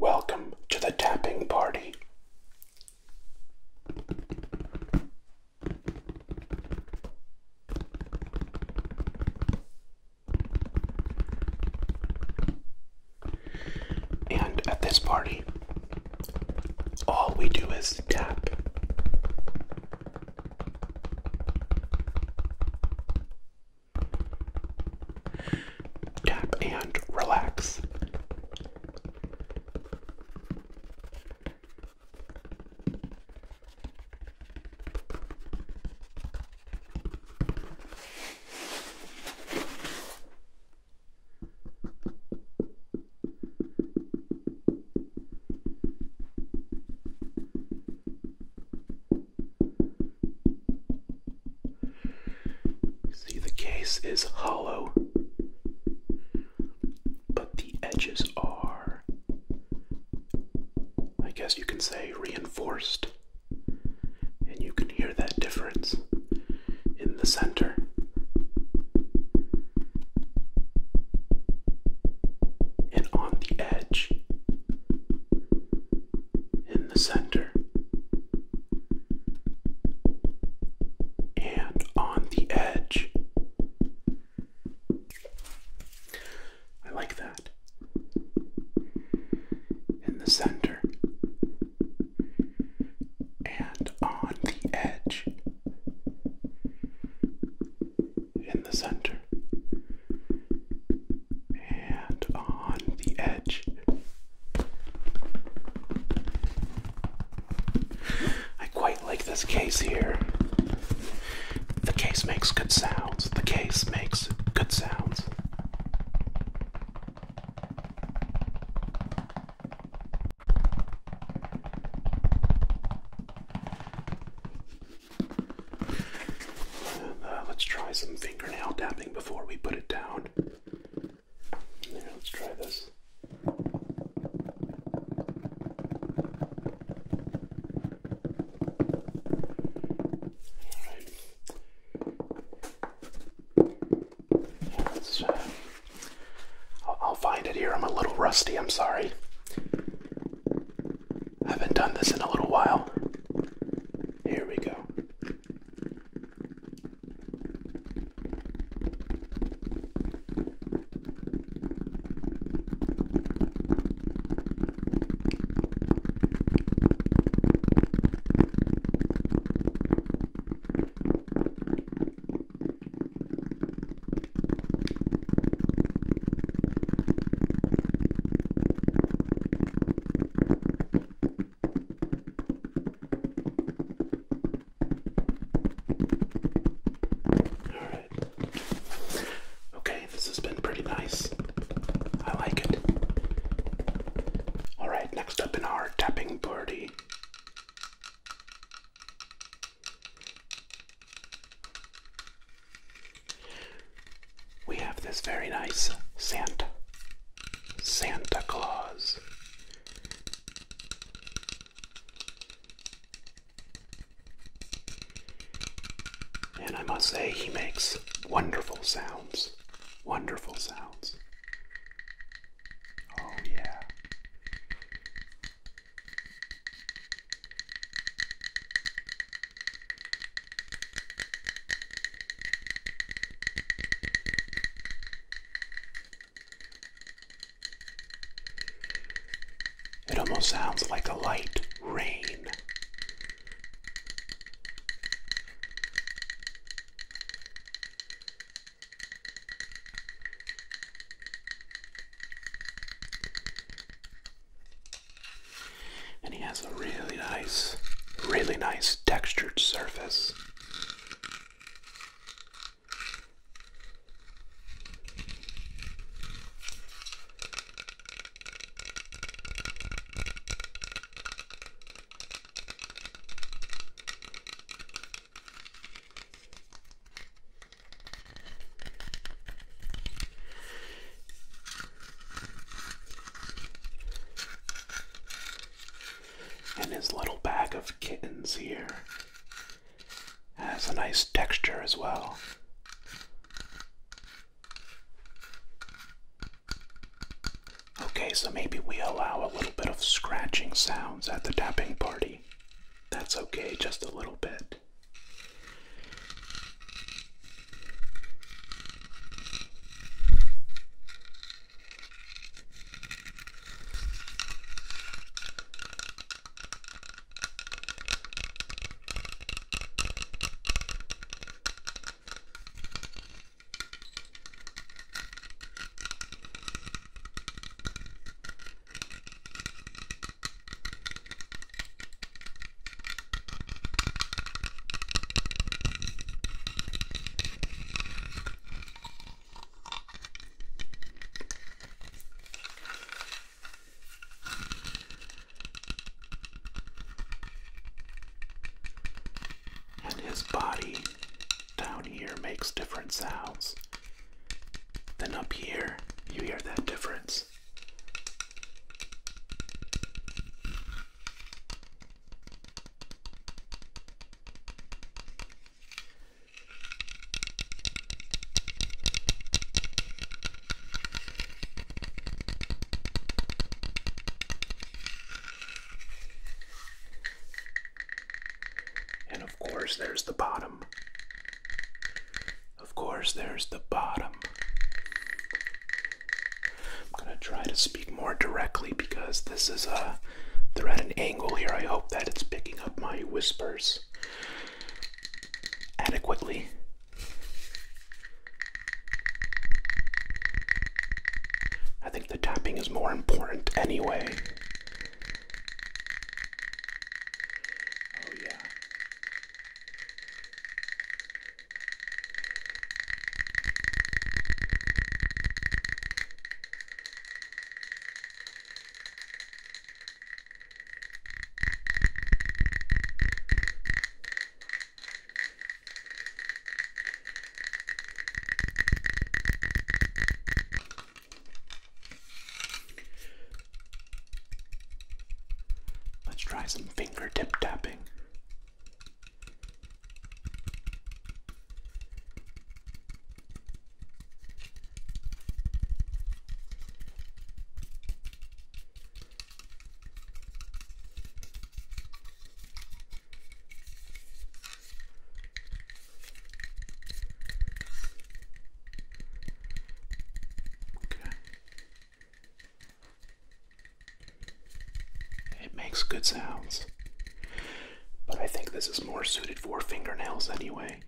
Welcome to the tapping party. And at this party, all we do is tap. Tap and relax. See, the case is hollow, but the edges are, I guess you can say, reinforced. And you can hear that difference in the center. And on the edge, in the center, and on the edge. I like that. In the center, and on the edge in the center and on the edge. I quite like this case here. The case makes good sounds. The case makes good sounds. Uh, let's try some fingernail tapping before we put it down. let's try this. Uh, I'll, I'll find it here. I'm a little rusty. I'm sorry. I haven't done this in a little while. Here we go. All right. Okay, this has been pretty nice. I like it. All right, Next up in our tapping party. We have this very nice Santa Santa Claus. And I must say, he makes wonderful sounds. Wonderful sounds. Oh, yeah. It almost sounds like a light rain. And he has a really nice, really nice textured surface. And his little bag of kittens here has a nice texture as well. Okay, so maybe we allow a little bit of scratching sounds at the tapping party. That's okay, just a little bit. And his body down here makes different sounds. Then up here, you hear that difference. And of course, there's the bottom. Of course, there's the bottom. I'm gonna try to speak more directly because this is a. They're at an angle here. I hope that it's picking up my whispers adequately. I the tapping is more important anyway. Oh, Let's try some fingertip tapping. It makes good sounds. But I think this is more suited for fingernails anyway.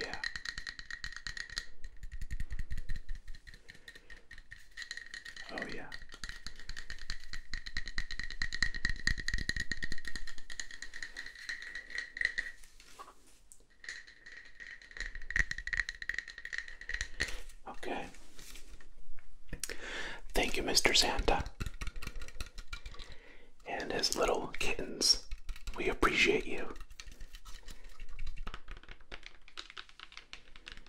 Yeah. Oh, yeah. Okay. Thank you, Mr. Santa. And his little kittens. We appreciate you.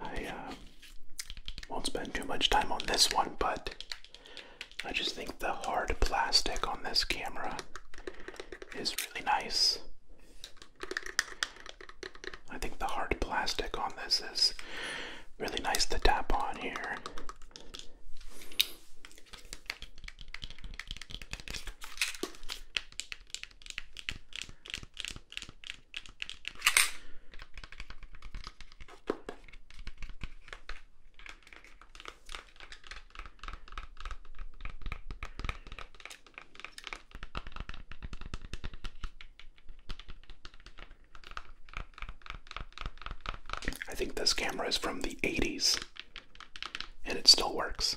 I uh, won't spend too much time on this one, but I just think the hard plastic on this camera is really nice. I think the hard plastic on this is really nice to tap on here. I think this camera is from the 80s and it still works.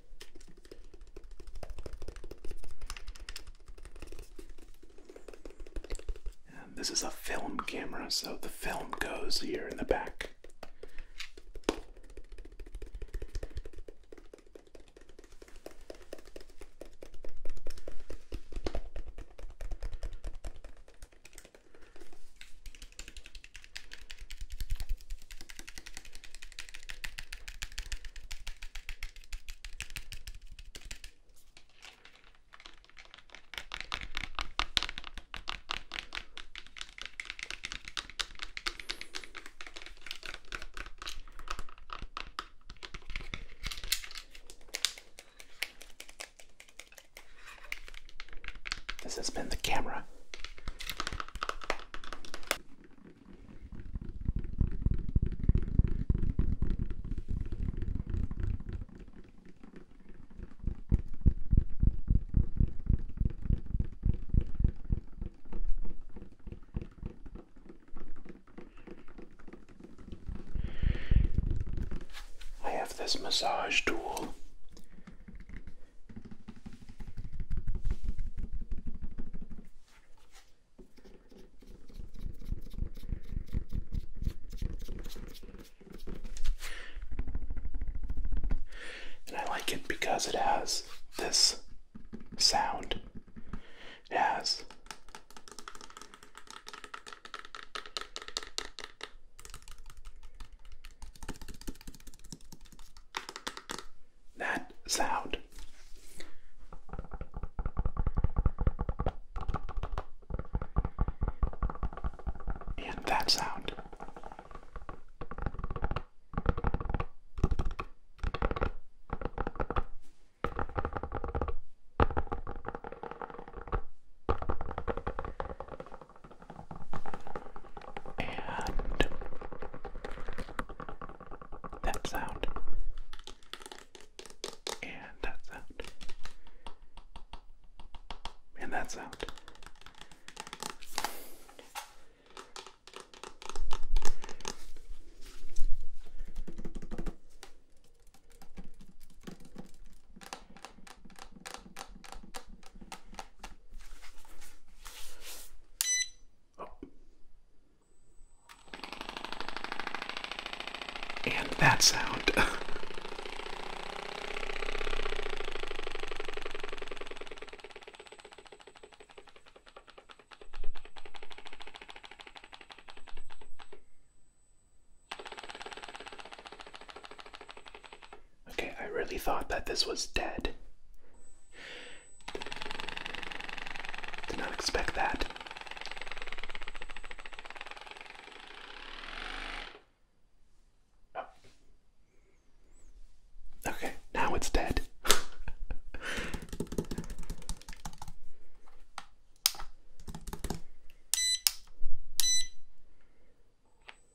And this is a film camera, so the film goes here in the back. This has been the camera I have this massage tool and I like it because it has this sound. It has that sound. And that sound. And that sound. And that sound. And that sound. Oh. And that sound. Okay, I really thought that this was dead. Did not expect that. Oh. Okay, now it's dead.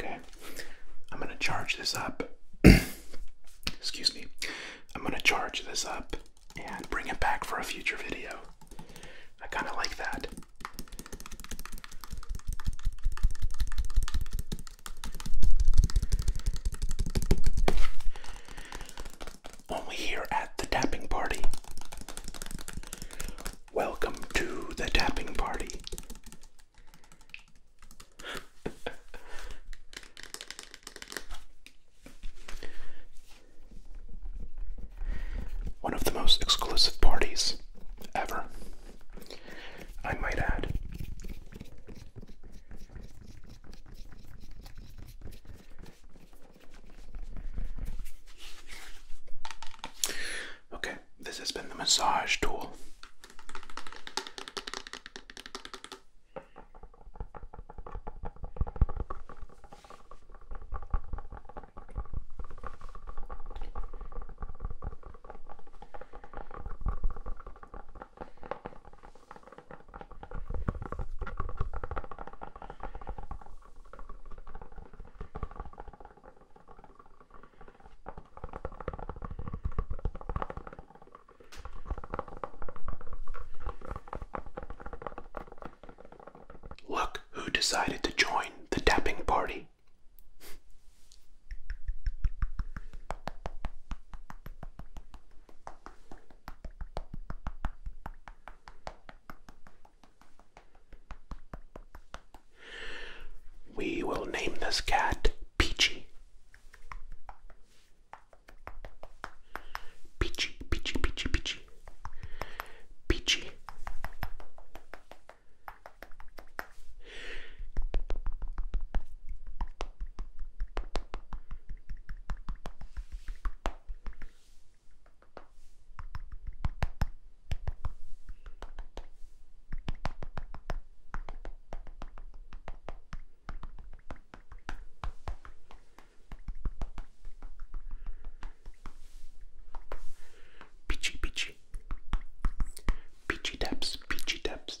Okay, I'm gonna charge this up. Excuse me. I'm gonna charge this up and bring it back for a future video. I kind of like that. Only here at the tapping party. Welcome to the tapping party. One of the most exclusive parties ever, I might add. Okay, this has been the massage tool. Look who decided to join the tapping party. We will name this cat Peachy. Peachy, peachy, peachy, peachy. Peachy. Peachy, peachy, peachy taps, peachy taps.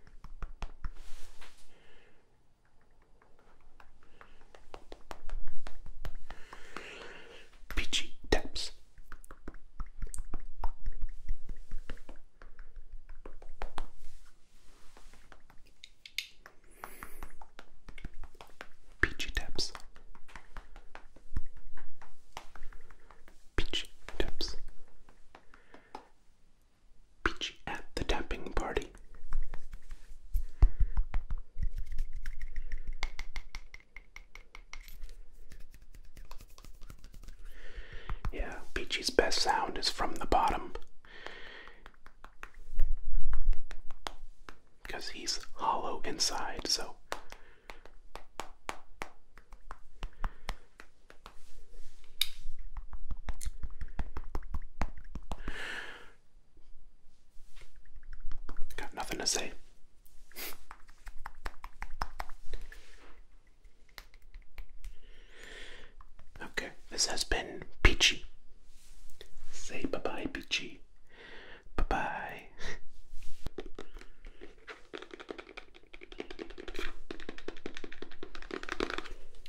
Peachy taps. Peachy taps. Peachy taps. Beachy at the tapping party. Yeah, Peachy's best sound is from the bottom. Because he's hollow inside, so. Got nothing to say. Okay, this has been Peachy. Say bye bye, Peachy. Bye bye.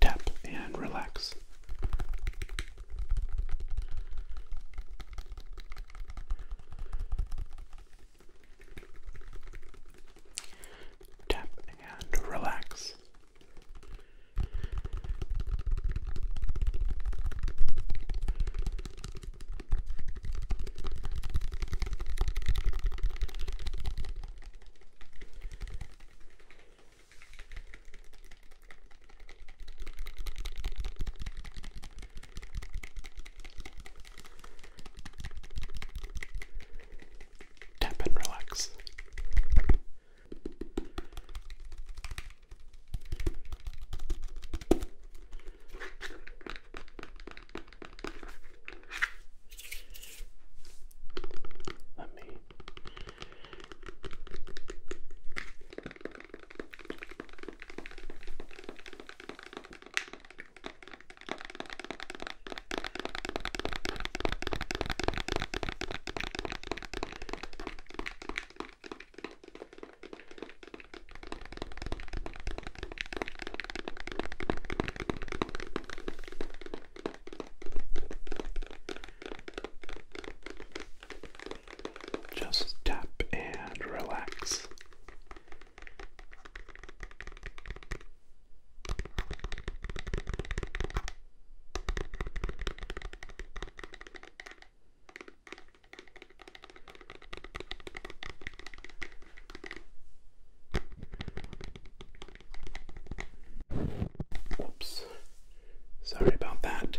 Tap and relax. Tap and relax. Tap and relax. Let me just tap and relax. Whoops. Sorry about that.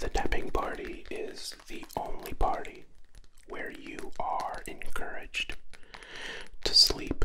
The tapping party is the only party where you are encouraged to sleep.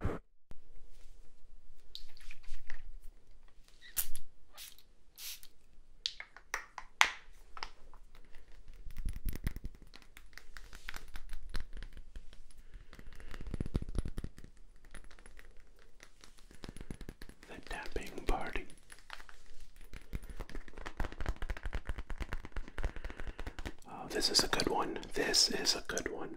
The tapping party. Oh, this is a good one. This is a good one.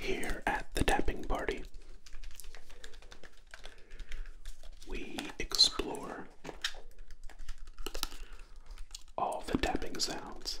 Here at the tapping party, we explore all the tapping sounds.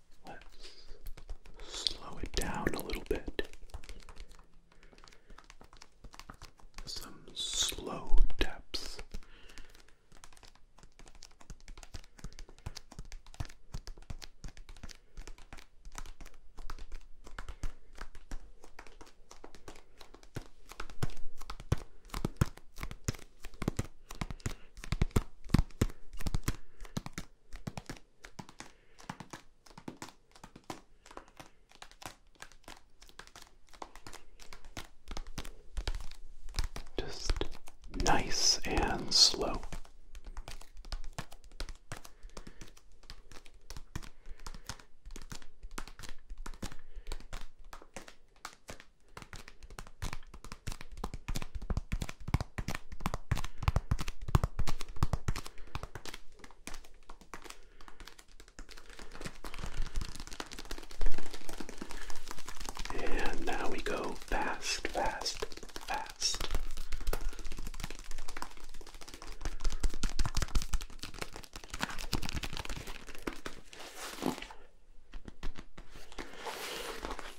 Let's slow it down a little bit. Some slow taps. Just nice and slow. And now we go fast, fast, fast.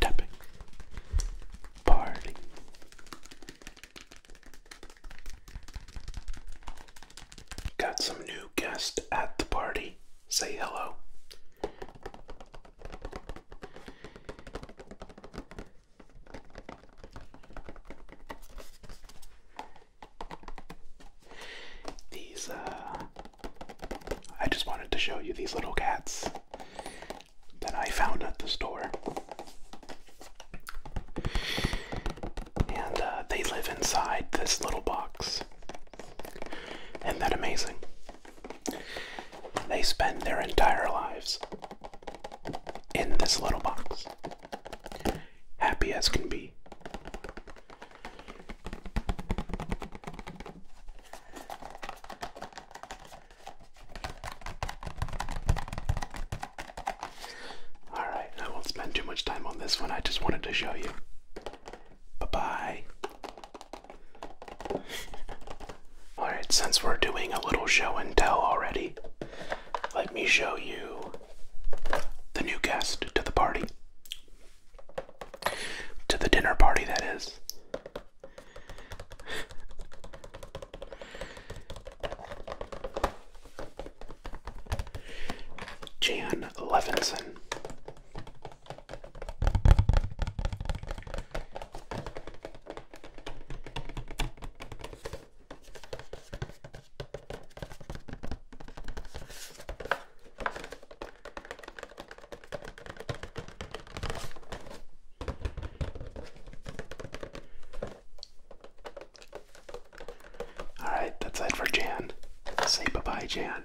tapping, party. Got some new guest at the party. Say hello. These uh, I just wanted to show you these little cats that I found at the store. And uh, they live inside this little box. Isn't that amazing? They spend their entire lives in this little box. Happy as can be. Alright, I won't spend too much time on this one. I just wanted to show you. Bye bye. Alright, since we're doing a little show and tell already, let me show you the new guest to the party. To the dinner party, that is. Jan Levinson. All right, that's it for Jan. Say bye bye, Jan.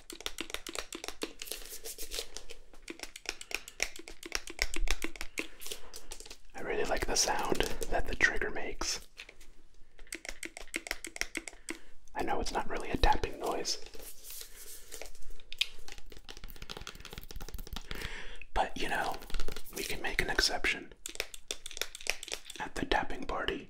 I really like the sound that the trigger makes. I know it's not really a tapping noise, but you know, we can make an exception at the tapping party.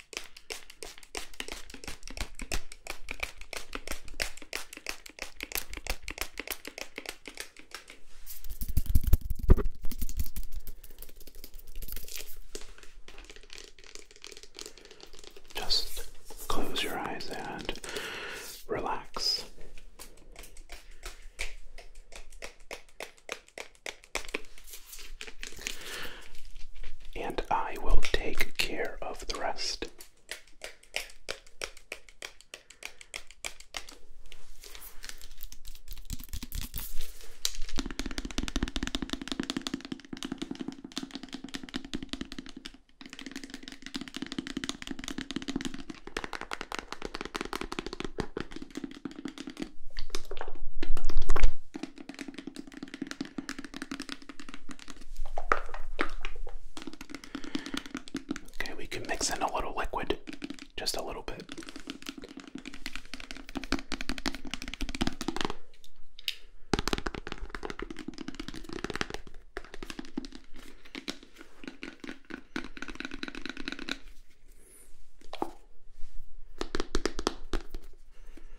Just close your eyes and relax. And I will take care of the rest. Okay, we can mix in a little liquid, just a little bit.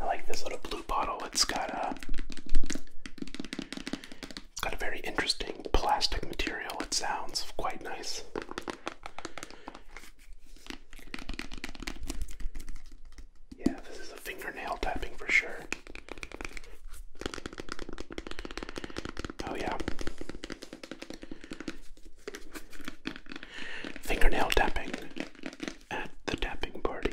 I like this little blue bottle. It's got a uh, it's got a very interesting plastic material. It sounds quite nice. Yeah, this is a fingernail tapping for sure. Oh, yeah. Fingernail tapping at the tapping party.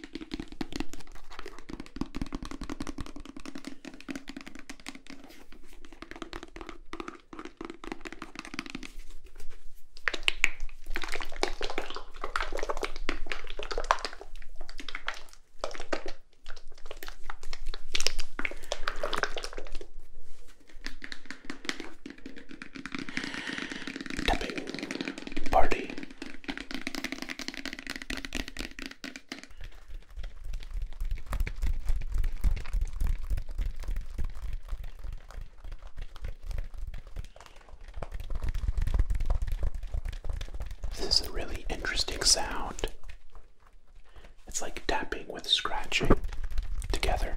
Tapping party this is a really interesting sound. It's like tapping with scratching together.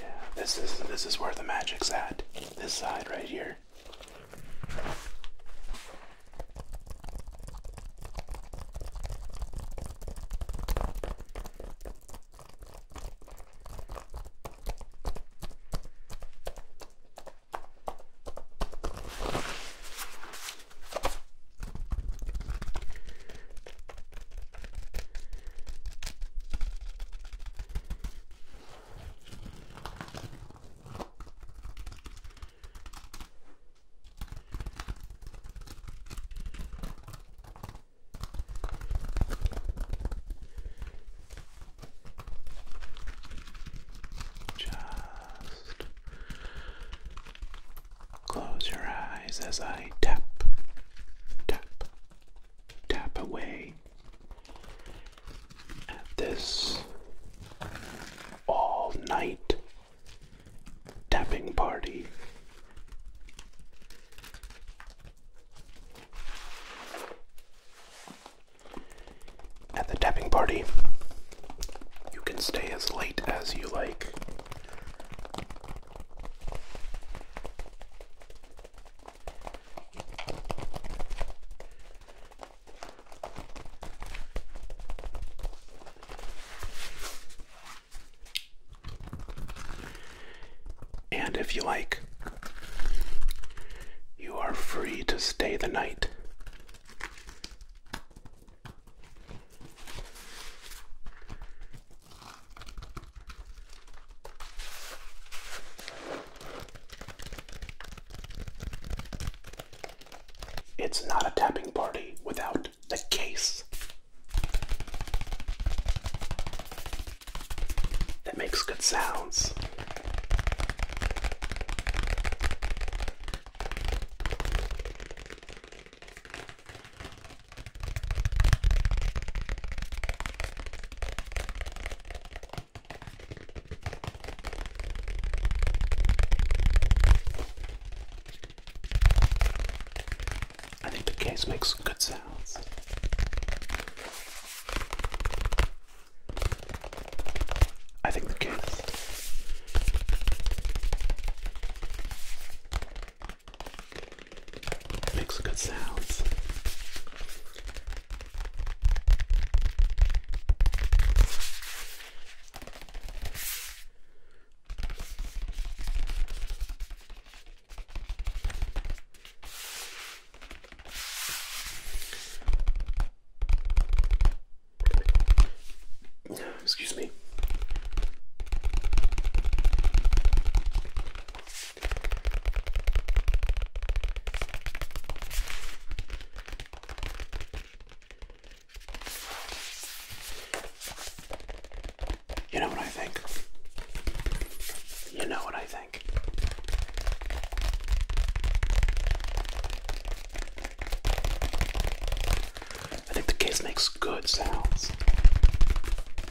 Yeah, this is this is where the magic's at. This side right here. Just close your eyes as I tap, tap, tap away at this all night tapping party. At the tapping party, you can stay as late as you like. And if you like, you are free to stay the night. It's not a tapping party without the case. That makes good sounds. I think the case makes good sounds. I think the case. It makes good sounds. Excuse me. You know what I think? You know what I think? I think the case makes good sounds.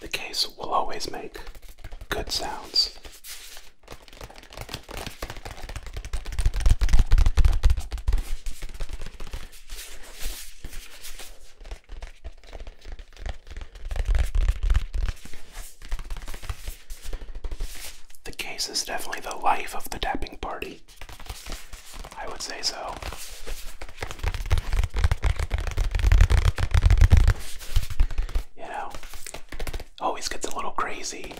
The case will always make good sounds. The case is definitely the life of the tapping party. I would say so. You know, always gets a little crazy.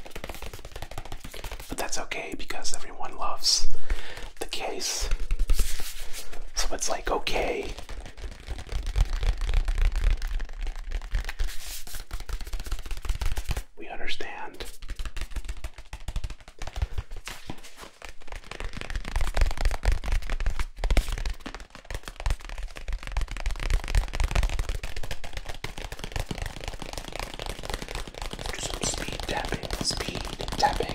But that's okay because everyone loves the case. So it's like, okay. We understand. Do some speed tapping, speed tapping.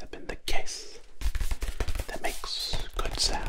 Has been the case that makes good sounds.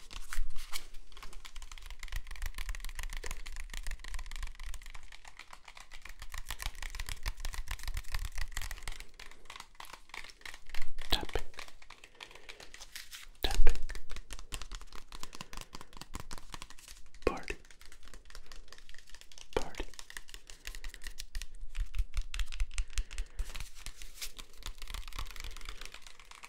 Tapping, tapping, party, party.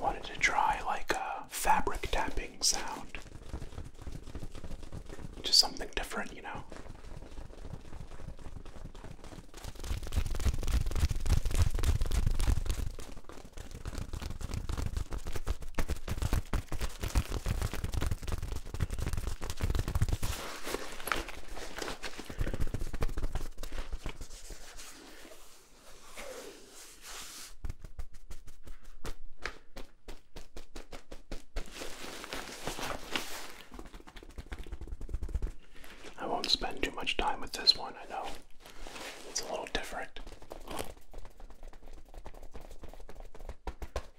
Wanted to try like a fabric tapping sound. Just something different, you know? I won't spend too much time with this one, I know. It's a little different.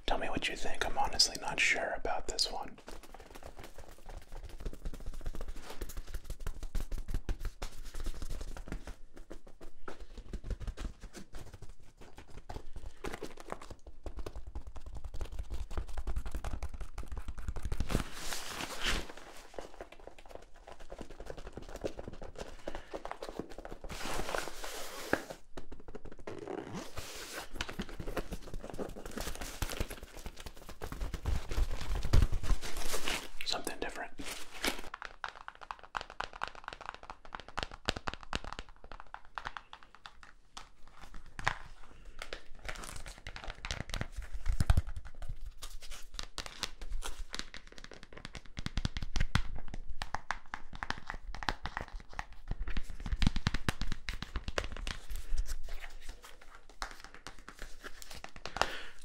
Tell me what you think. I'm honestly not sure about this one. Something different.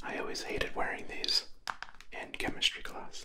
I always hated wearing these in chemistry class.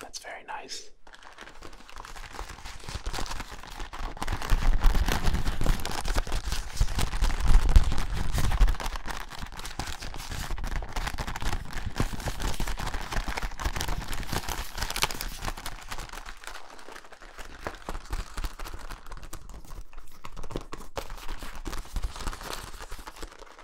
That's very nice.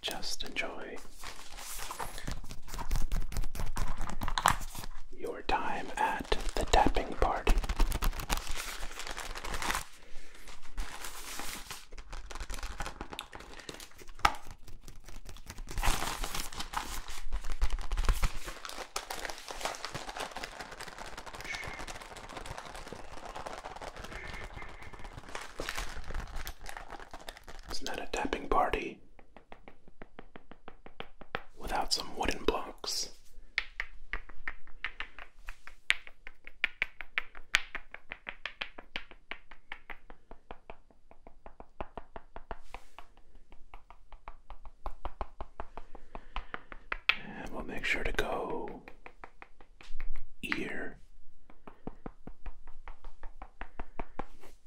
Just enjoy your time at the tapping party. It's not a tapping party without some wooden blocks. And we'll make sure to go ear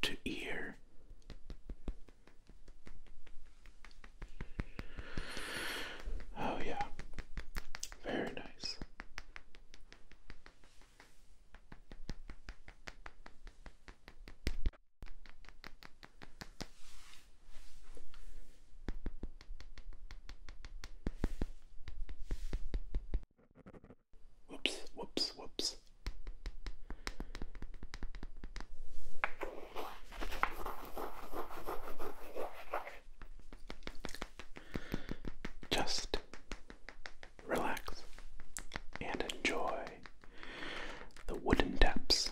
to ear Oh, yeah. Very nice. Whoops, whoops, whoops. Just relax and enjoy the wooden depths.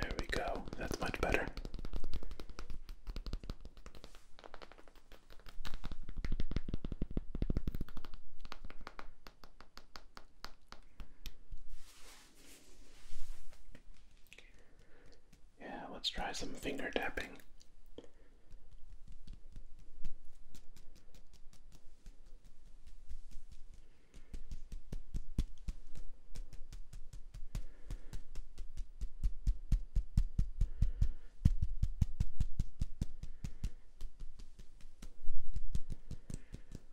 There we go. That's much better. Yeah, let's try some finger tapping.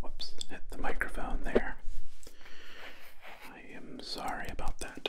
Whoops, hit the microphone there. I am sorry about that.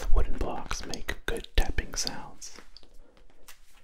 The wooden blocks make good tapping sounds.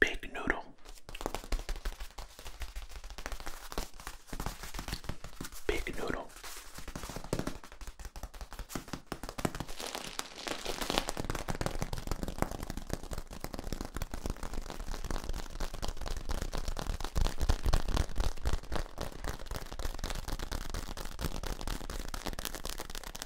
Big noodle. Big noodle.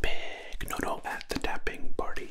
Big no no at the tapping party.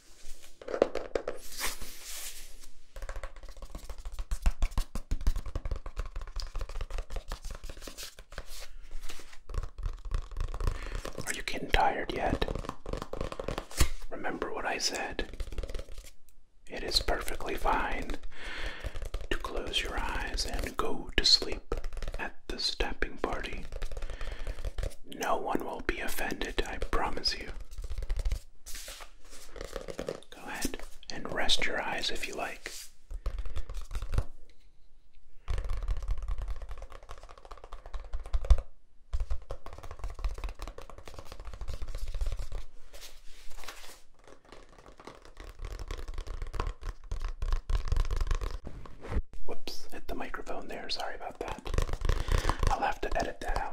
Are you getting tired yet? Remember what I said. It is perfectly fine to close your eyes and go to sleep at the stamping party. No one will be offended, I promise you. Go ahead and rest your eyes if you like. Whoops, hit the microphone there. Sorry about about that. I'll have to edit that out.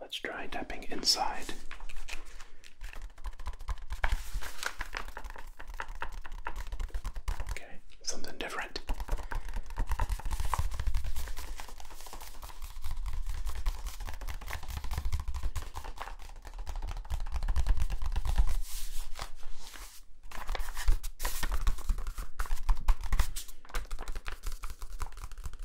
Let's try tapping inside. Okay, something different.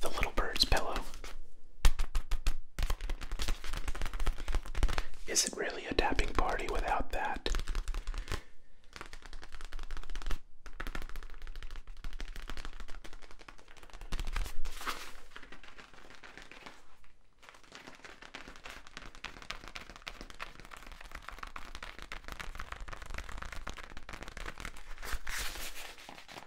the little bird's pillow. Is it really a tapping party without that?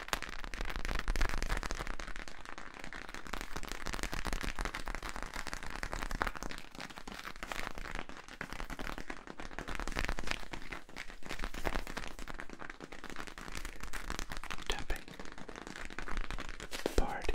Tapping party.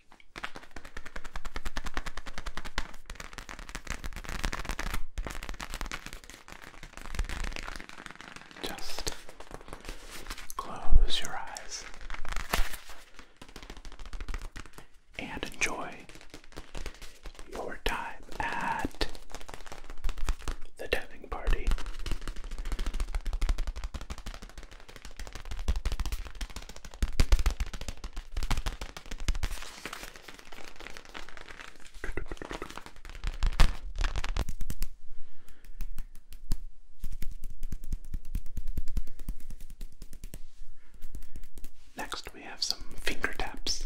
Just close your eyes and enjoy your time at the diving party. Next, we have some finger taps.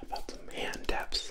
How about some hand taps?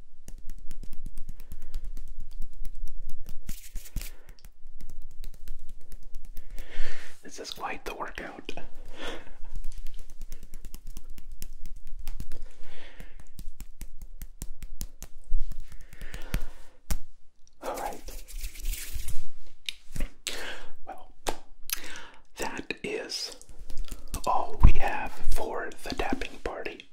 This is quite the workout. All right. Well, that is all we have for the tapping party.